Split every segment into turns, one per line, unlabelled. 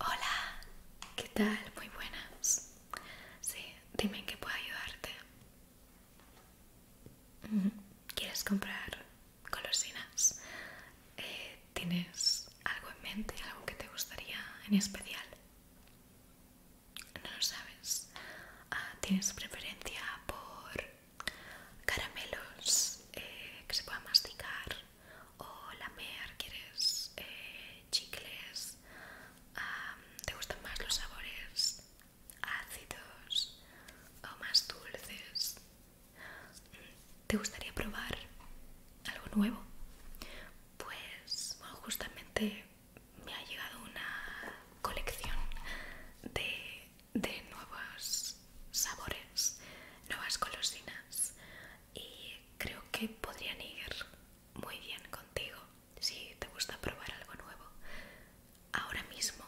Hola, ¿qué tal? Muy buenas. Sí, dime en qué puedo ayudarte. ¿Quieres comprar golosinas? Eh, ¿Tienes algo en mente, algo que te gustaría en especial? No lo sabes. Ah, ¿Tienes preferencia por caramelos eh, que se puedan masticar o lamear quieres eh, chicles, te gustan más los sabores ácidos o más dulces, ¿te gustaría probar algo nuevo? Pues justamente me ha llegado una colección de de nuevos sabores, nuevas golosinas y creo que podrían ir muy bien contigo si te gusta probar algo nuevo. Ahora mismo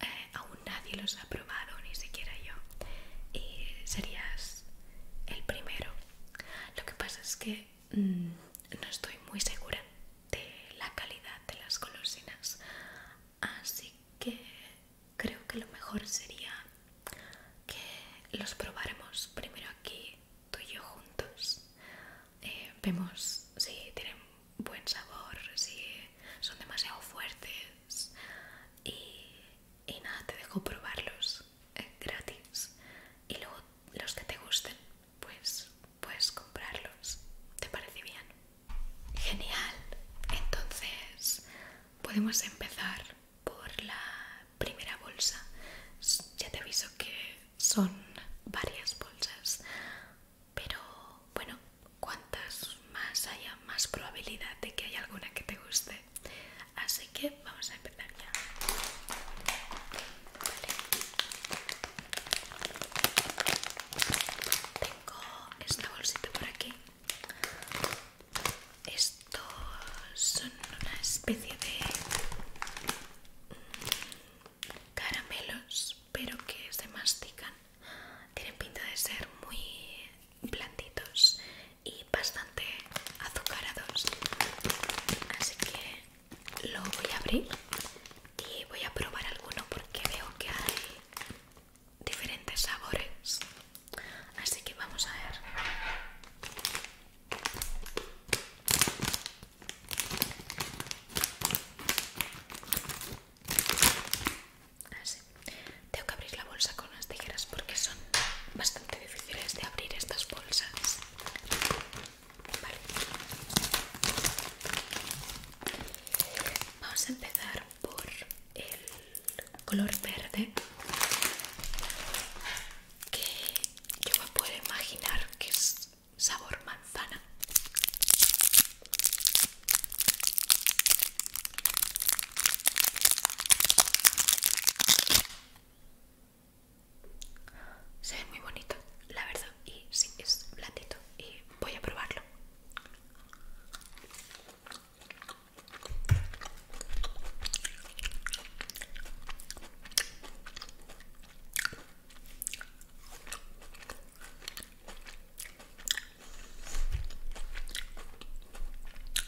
eh, aún nadie los ha probado, ni siquiera yo, y serías el primero. Lo que pasa es que mm, no estoy muy segura de la calidad de las golosinas así que creo que lo mejor sería que los probáramos primero aquí tú y yo juntos eh, vemos si tienen buen sabor si son demasiado fuertes y, nada te dejo probarlos eh, gratis y luego los que te gusten pues puedes comprarlos te parece bien Genial. Entonces podemos empezar por la primera bolsa. Ya te aviso que son varias bolsas, pero bueno, cuantas más haya, más probabilidad de que haya alguna que te guste. Así que vamos a empezar ya. Tengo esta bolsita por aquí estos son una especie de mm, caramelos, pero que se mastican. Tienen pinta de ser muy blanditos y bastante azucarados. Así que lo voy a abrir y voy a probar alguno porque veo que hay diferentes sabores así que vamos a ver así tengo que abrir la bolsa con las tijeras porque son bastante difíciles de abrir estas bolsas vale vamos a empezar por el color verde que yo me puedo imaginar que es sabor manzana se ve muy bonito la verdad y sí es blandito y voy a probarlo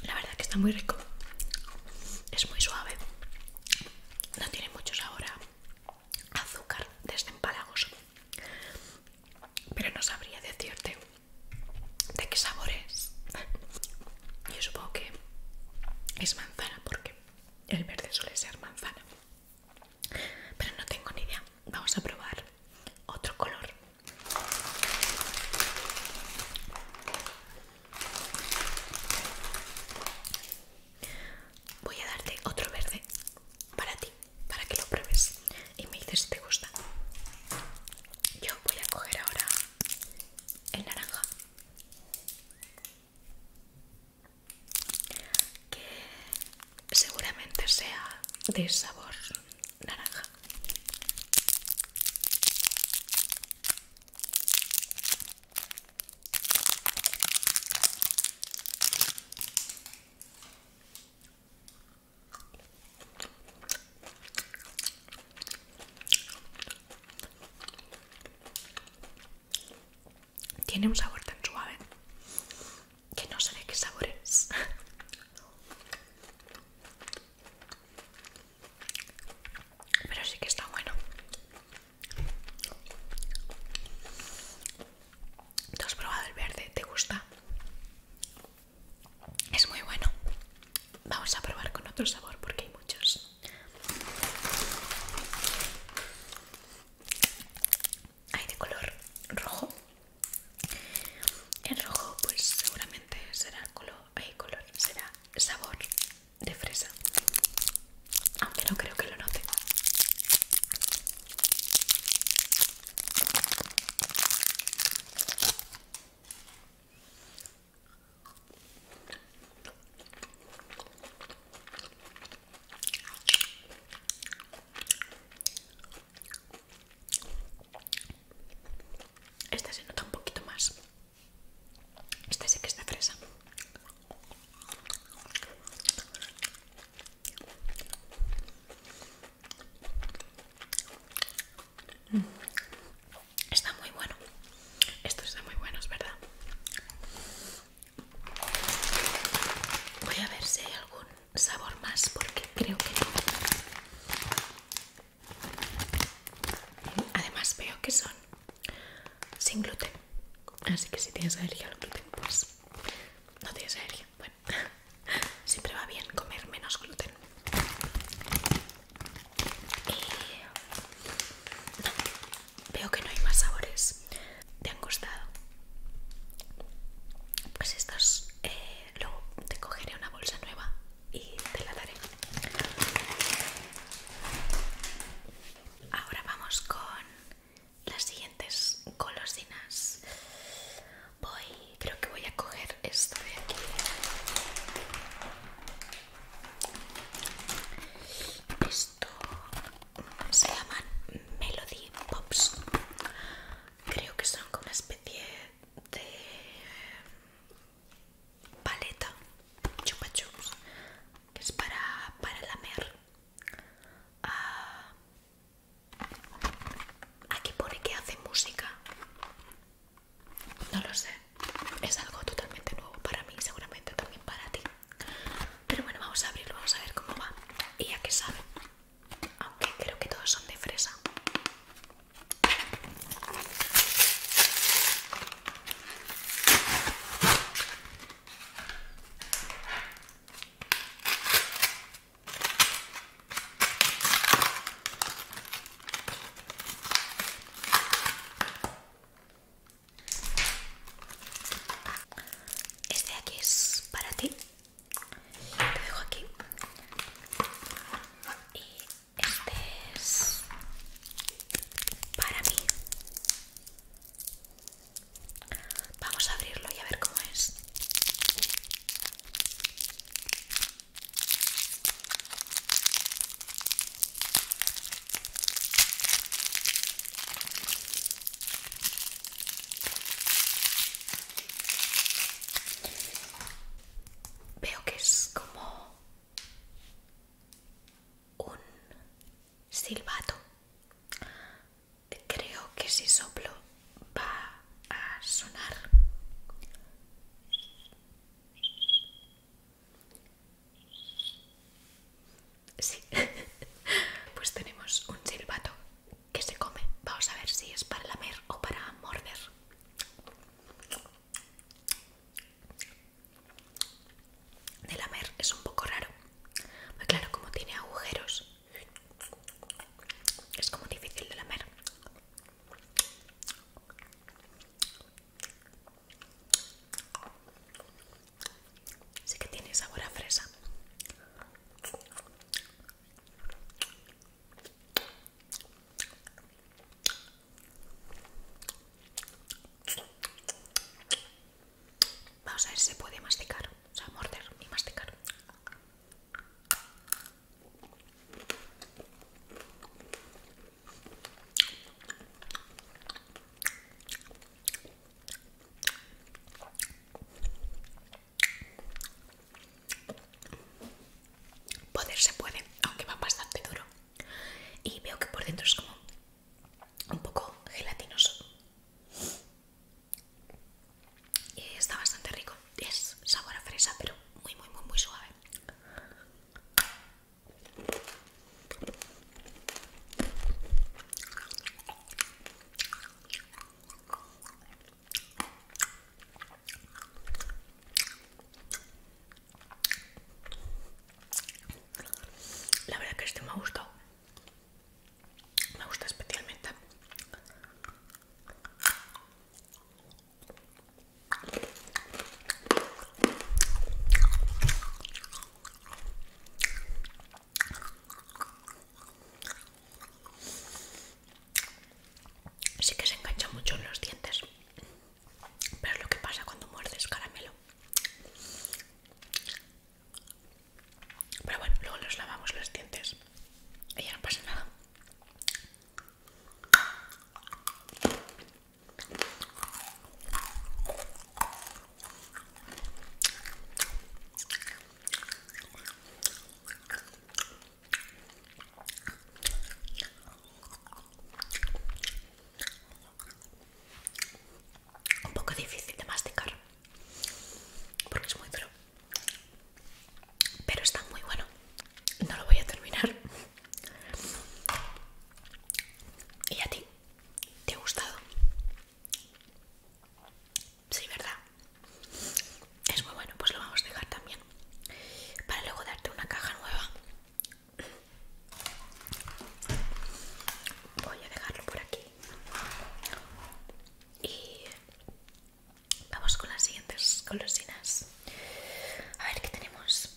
la verdad que está muy rico. Es muy suave. No tiene mucho sabor azúcar desde este empalagos pero no sabría decirte de qué sabor es. Yo supongo que es manzana porque el verde suele ser manzana, pero no tengo ni idea. Vamos a probar otro color. Voy a darte otro verde para ti para que lo pruebes y me dices si te gusta. Yo voy a coger ahora el naranja. Que seguramente sea de sabor naranja. Tiene un sabor tan suave que no sé qué sabor es. Pero sí que está bueno. ¿Te has probado el verde? ¿Te gusta? Es muy bueno. Vamos a probar con otro sabor porque hay muchos. Hay de color rojo. El rojo pues seguramente será color, hay color, será sabor de fresa. Aunque no creo que lo note. Esta se nota un poquito más. Esta sí que está fresa. Mm. Está muy bueno. Estos están muy buenos, ¿verdad? Voy a ver si hay algún sabor más porque creo que no. Además veo que son sin gluten. Así que si tienes alergia al gluten, pues no tienes alergia. Bueno, siempre va bien comer menos gluten. veo que no hay más sabores. ¿Te han gustado? Pues estos eh, luego te cogeré una bolsa nueva y te la daré. Ahora vamos con las siguientes golosinas voy, creo que voy a coger esto de aquí. Esto se llaman Melody Pops. Creo que son como una especie de em, paleta chupa que es para, para lamer. Aquí pone que hace música. No lo sé. Es algo totalmente nuevo para mí, seguramente también para ti. Pero bueno, vamos a abrirlo, vamos a ver cómo va. Y ya que sabe. Aunque creo que todos son de fresa. Este de aquí es para ti. Te dejo aquí. Y este es para mí. Vamos a abrirlo y a ver cómo es. Veo que es como un silbato creo que si soplo va a sonar sí pues tenemos un silbato que se come vamos a ver si es para lamer o para morder de lamer es un poco raro claro como tiene agujeros es como difícil de lamer. Sí que tiene sabor a fresa. Vamos a ver si se puede masticar, o sea, morder y masticar. Poder se puede, aunque va bastante duro. Y veo que por dentro es como un poco gelatinoso y está bastante rico es sabor a fresa pero muy muy muy muy suave la verdad que este me ha gustado me gusta especialmente Sí que se engancha mucho en los dientes, pero es lo que pasa cuando muerdes caramelo. Pero bueno, luego los lavamos los dientes y ya no pasa nada. Un poco difícil de masticar porque es muy duro pero está muy bueno no lo voy a terminar y a ti te ha gustado sí verdad es muy bueno pues lo vamos a dejar también para luego darte una caja nueva voy a dejarlo por aquí y Vamos con las siguientes golosinas. A ver qué tenemos.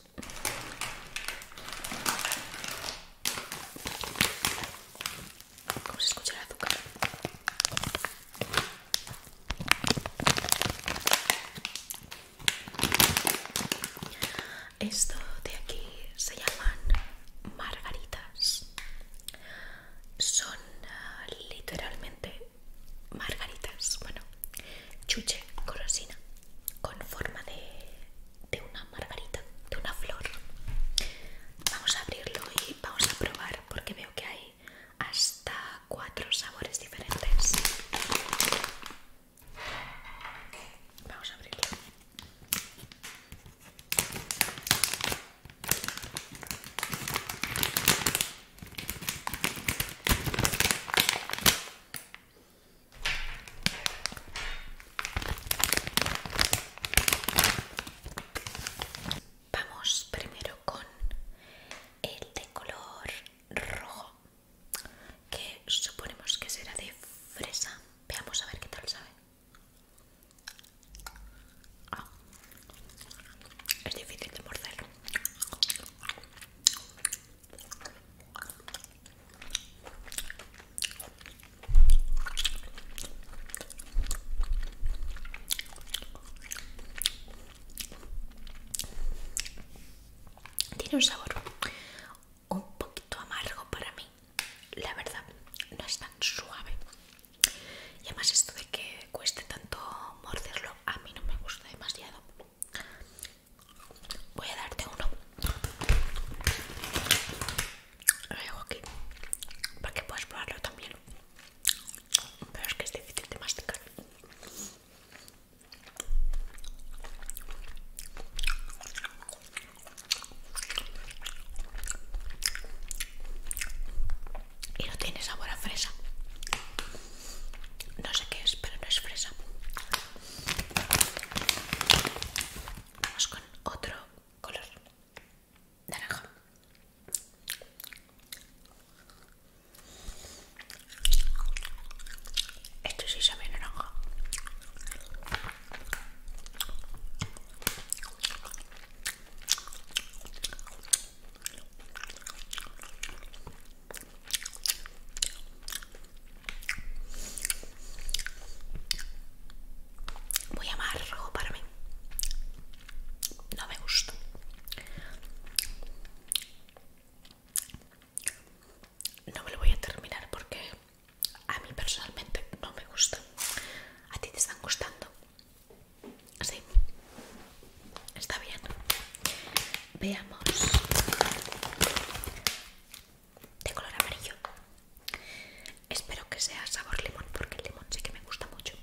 ¿Cómo se escucha el azúcar? Esto de aquí se llaman margaritas. Son literalmente margaritas, bueno, chuche, corosina, con forma de, de una margarita, de una flor. Vamos a abrirlo y vamos a probar porque veo que hay hasta cuatro sabores diferentes. Vamos a abrirlo. Vamos primero con el de color rojo, que suponemos que será de fresa. Veamos a ver qué tal sabe. Ah. es difícil de morderlo. Tiene un sabor un poquito amargo para mí. La verdad, no es tan suave. Y además esto de que cueste tanto morderlo, a mí no me gusta demasiado. Voy a darte uno. Lo dejo aquí para que puedas probarlo también. Pero es que es difícil de masticar y no tiene sabor a fresa. No sé qué es, pero no es fresa. Vamos con otro color naranja. Esto sí sabe a naranja. Voy a amar rojo para mí. No me gusta. No me lo voy a terminar porque a mí personalmente no me gusta. ¿A ti te están gustando? Sí, está bien. Veamos. De color amarillo. Espero que sea sabor limón porque el limón sí que me gusta mucho.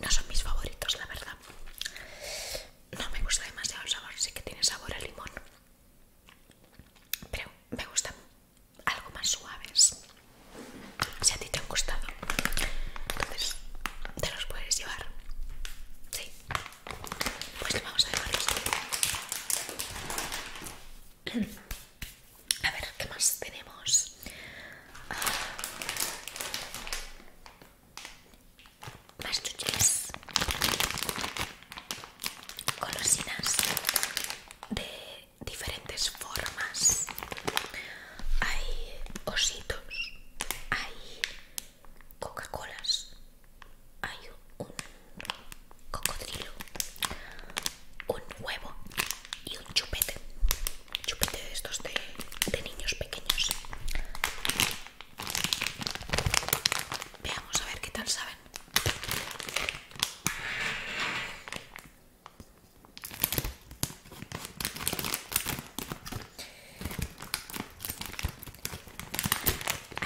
No son mis favoritos, la verdad. No me gusta demasiado el sabor, sí que tiene sabor a limón. Pero me gustan algo más suaves. Si a ti te han gustado, entonces te los puedes llevar. Sí. Pues le vamos a dejar esto. A ver, ¿qué más tenemos? Ah, más chuches. Colosinas de diferentes formas. Hay ositos. Hay Coca-Colas. Hay un cocodrilo, un huevo y un chupete. Chupete de estos de, de niños pequeños. Veamos a ver qué tal saben.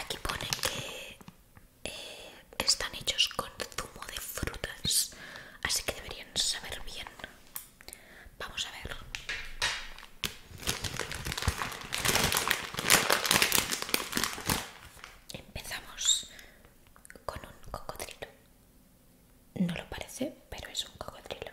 Aquí pone que eh, están hechos con zumo de frutas, así que deberían saber bien. Vamos a ver. Empezamos con un cocodrilo. No lo parece, pero es un cocodrilo.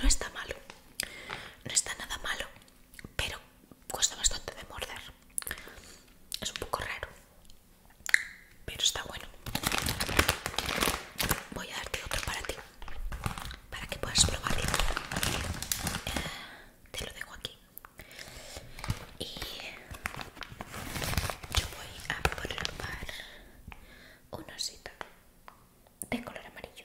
No está malo, no está nada malo, pero cuesta bastante de morder. Es un poco raro, pero está bueno. Voy a darte otro para ti, para que puedas probar te lo dejo aquí. Y yo voy a probar un osito de color amarillo.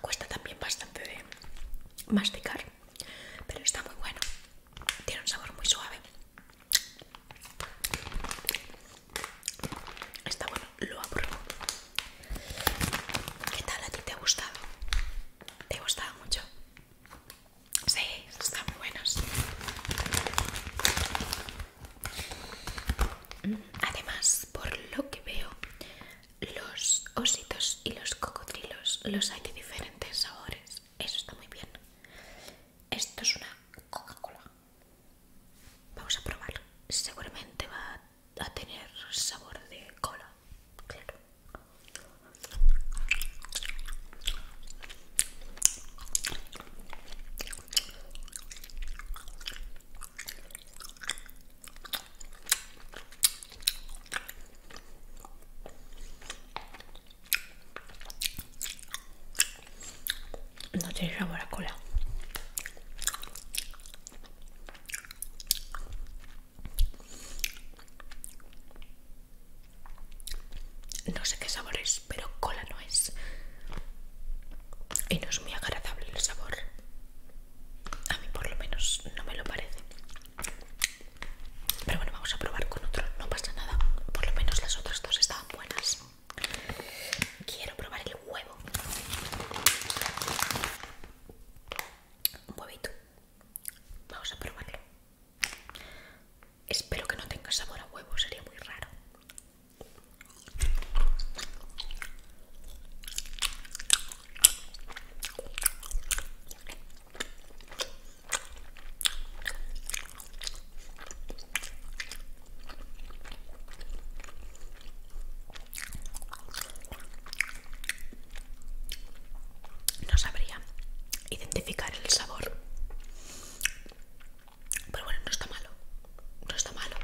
Cuesta también bastante de masticar, pero está muy bueno. Tiene un sabor muy suave. Está bueno, lo apruebo. ¿Qué tal a ti te ha gustado? ¿Te ha gustado mucho? Sí, están muy buenos. Además, por lo que veo, los ositos y los cocodrilos los hay de diferentes sabores. Eso está muy bien. Esto es una Coca-Cola. Vamos a probar. Seguramente va a tener sabor de cola. Claro. No tiene sabor a cola. No sé qué sabor es, pero cola no es. Y no es muy agradable el sabor. A mí por lo menos no me lo parece. Pero bueno, vamos a probar con otro, no pasa nada. Por lo menos las otras dos estaban buenas. Quiero probar el huevo. Un huevito. Vamos a probarlo. Espero que no tenga sabor a huevo, sería muy raro. No sabría identificar el sabor, pero bueno, no está malo no está malo,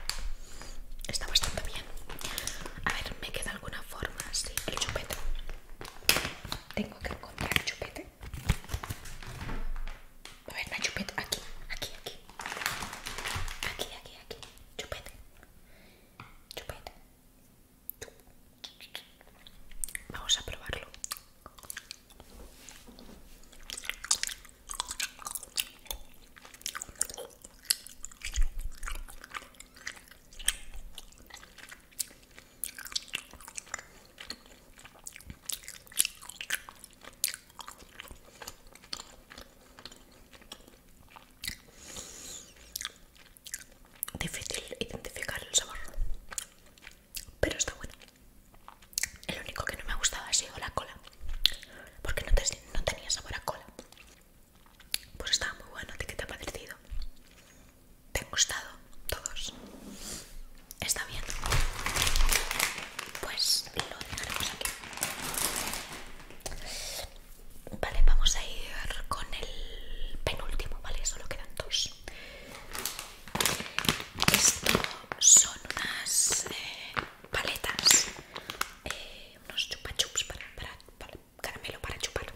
está bastante bien. A ver, me queda alguna forma, sí, el chupete. Tengo que encontrar chupete. A ver, la chupete, aquí, aquí, aquí. Aquí, aquí, aquí. Chupete. Chupete. Vamos a probarlo. Difícil identificar el sabor, pero está bueno. El único que no me ha gustado ha sido la cola, porque no, no tenía sabor a cola. Pues está muy bueno, ¿te qué te ha parecido? ¿Te han gustado todos? ¿Está bien? Pues lo dejaremos aquí. Vale, vamos a ir con el penúltimo, ¿vale? Solo quedan dos. Esto son unas eh, paletas eh, unos chupachups para, caramelo para chupar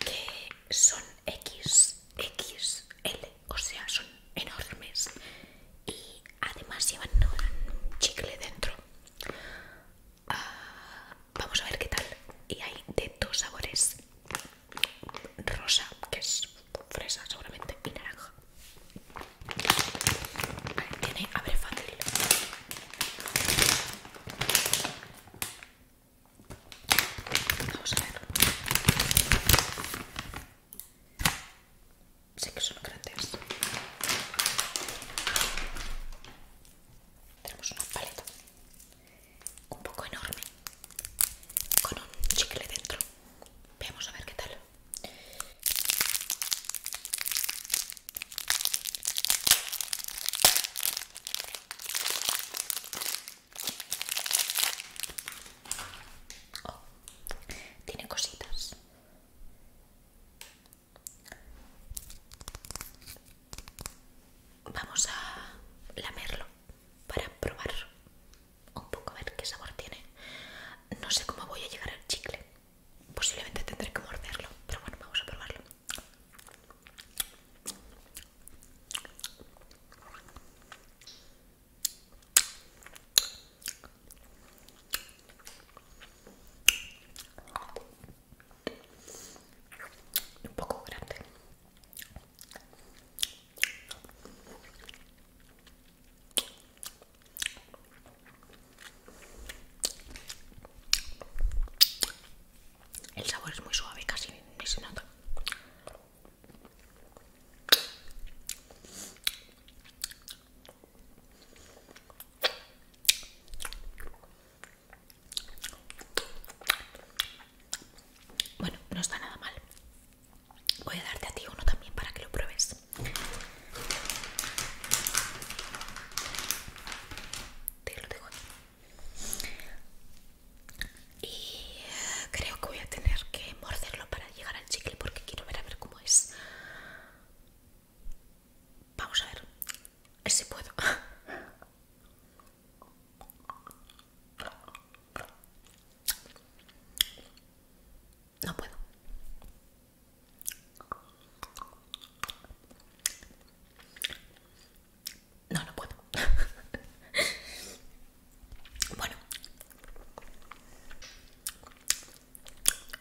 que son XXL, o sea, son enormes y además llevan un chicle dentro. Ah, vamos a ver qué tal. Y hay de dos sabores: rosa, que es fresa, seguramente, y naranja. Vale, tiene, abre fácil. Vamos a ver. Sé que son grandes. Tenemos una paleta un poco enorme con un chicle dentro. Veamos a ver qué tal. Oh, tiene cositas. Vamos a lamerlo para probar un poco a ver qué sabor tiene. No sé cómo voy a llegar al chicle posiblemente tendré que morderlo, pero bueno, vamos a probarlo. Un poco grande. El sabor es muy suave, casi ni se nota. Bueno, no está nada mal. Voy a darte a ti uno también para que lo pruebes. Te lo Y eh, creo que voy a tener que morderlo para llegar al chicle porque quiero ver a ver cómo es. Vamos ver. A ver si puedo. No puedo. No, no puedo. bueno.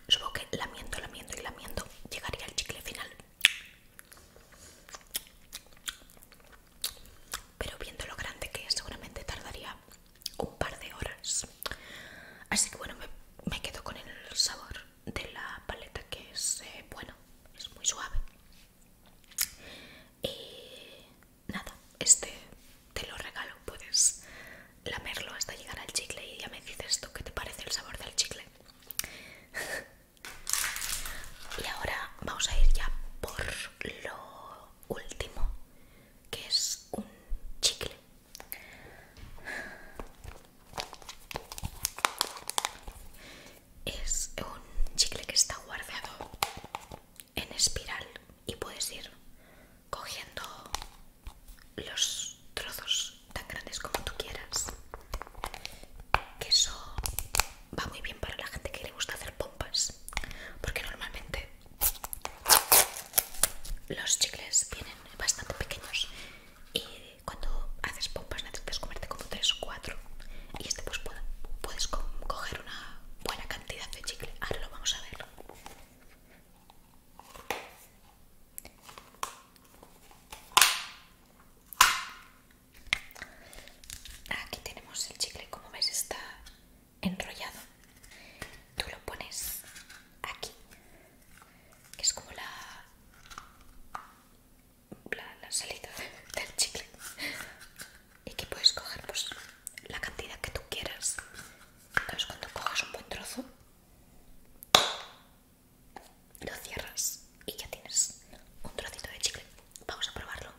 Supongo que lamiento, lamiento y lamiento llegaría al chicle final. Pero viendo lo grande que es, seguramente tardaría un par de horas así que bueno me, quedo con el sabor de la paleta que es eh, bueno es muy suave y nada este te lo regalo puedes lamerlo hasta llegar al chicle y ya me dices tú qué te parece el sabor del chicle y ahora vamos a ir ya por lo último que es un chicle. Es un chicle que está guardado en espiral y puedes ir cogiendo los trozos tan grandes como tú quieras. Que eso va muy bien para la gente que le gusta hacer pompas, porque normalmente los chicles vienen bastante pequeños y cuando haces pompas necesitas comerte como 3 o 4 y este pues puedes coger una buena cantidad de chicle. Ahora lo vamos a ver. Aquí tenemos el chicle, como veis está enrollado tú lo pones aquí que es como la salida del chicle y que puedes coger pues, la cantidad que tú quieras entonces cuando coges un buen trozo lo cierras y ya tienes un trocito de chicle vamos a probarlo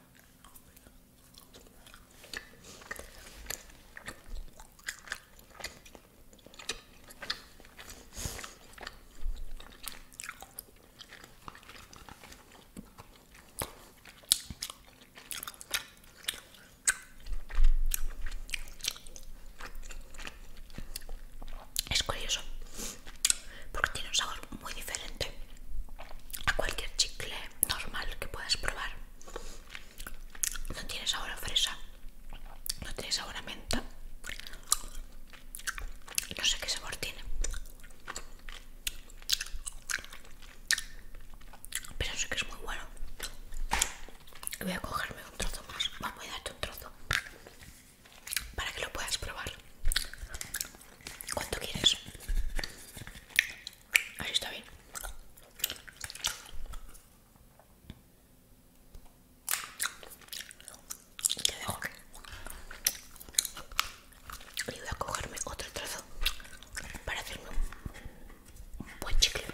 es curioso porque tiene un sabor muy diferente a cualquier chicle normal que puedas probar. No tiene sabor a fresa, no tiene sabor a menta. No sé qué sabor tiene. Pero sé que es muy bueno. Voy a cogerme un trozo más. Vamos a darte un trozo. Para que lo puedas probar. ¿Cuánto quieres? Ahí está bien. Te dejo Y voy a cogerme otro trozo para hacerme un, un buen chicle.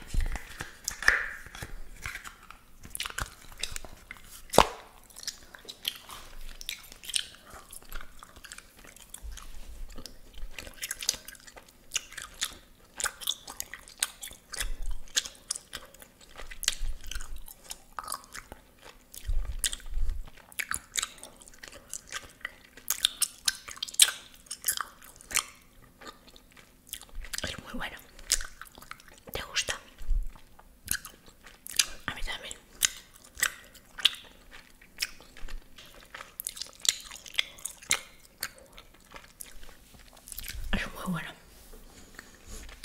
Es muy bueno. ¿Te gusta? A mí también. Es muy bueno.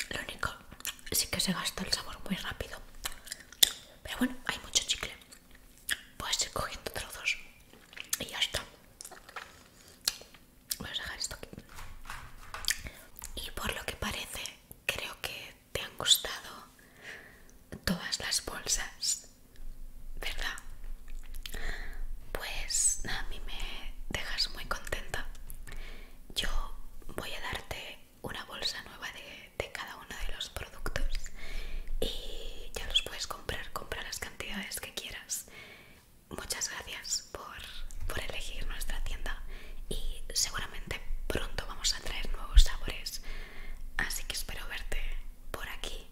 Lo único sí que se gasta el sabor muy rápido. Pero bueno, hay mucho chicle. Puedes ir cogiendo trozos. Y ya está. Voy a dejar esto aquí. Y por lo que parece, creo que te han gustado todas las bolsas ¿verdad? Pues a mí me dejas muy contenta. Yo voy a darte una bolsa nueva de, cada uno de los productos y ya los puedes comprar, comprar las cantidades que quieras. Muchas gracias por, por elegir nuestra tienda y seguramente pronto vamos a traer nuevos sabores, así que espero verte por aquí.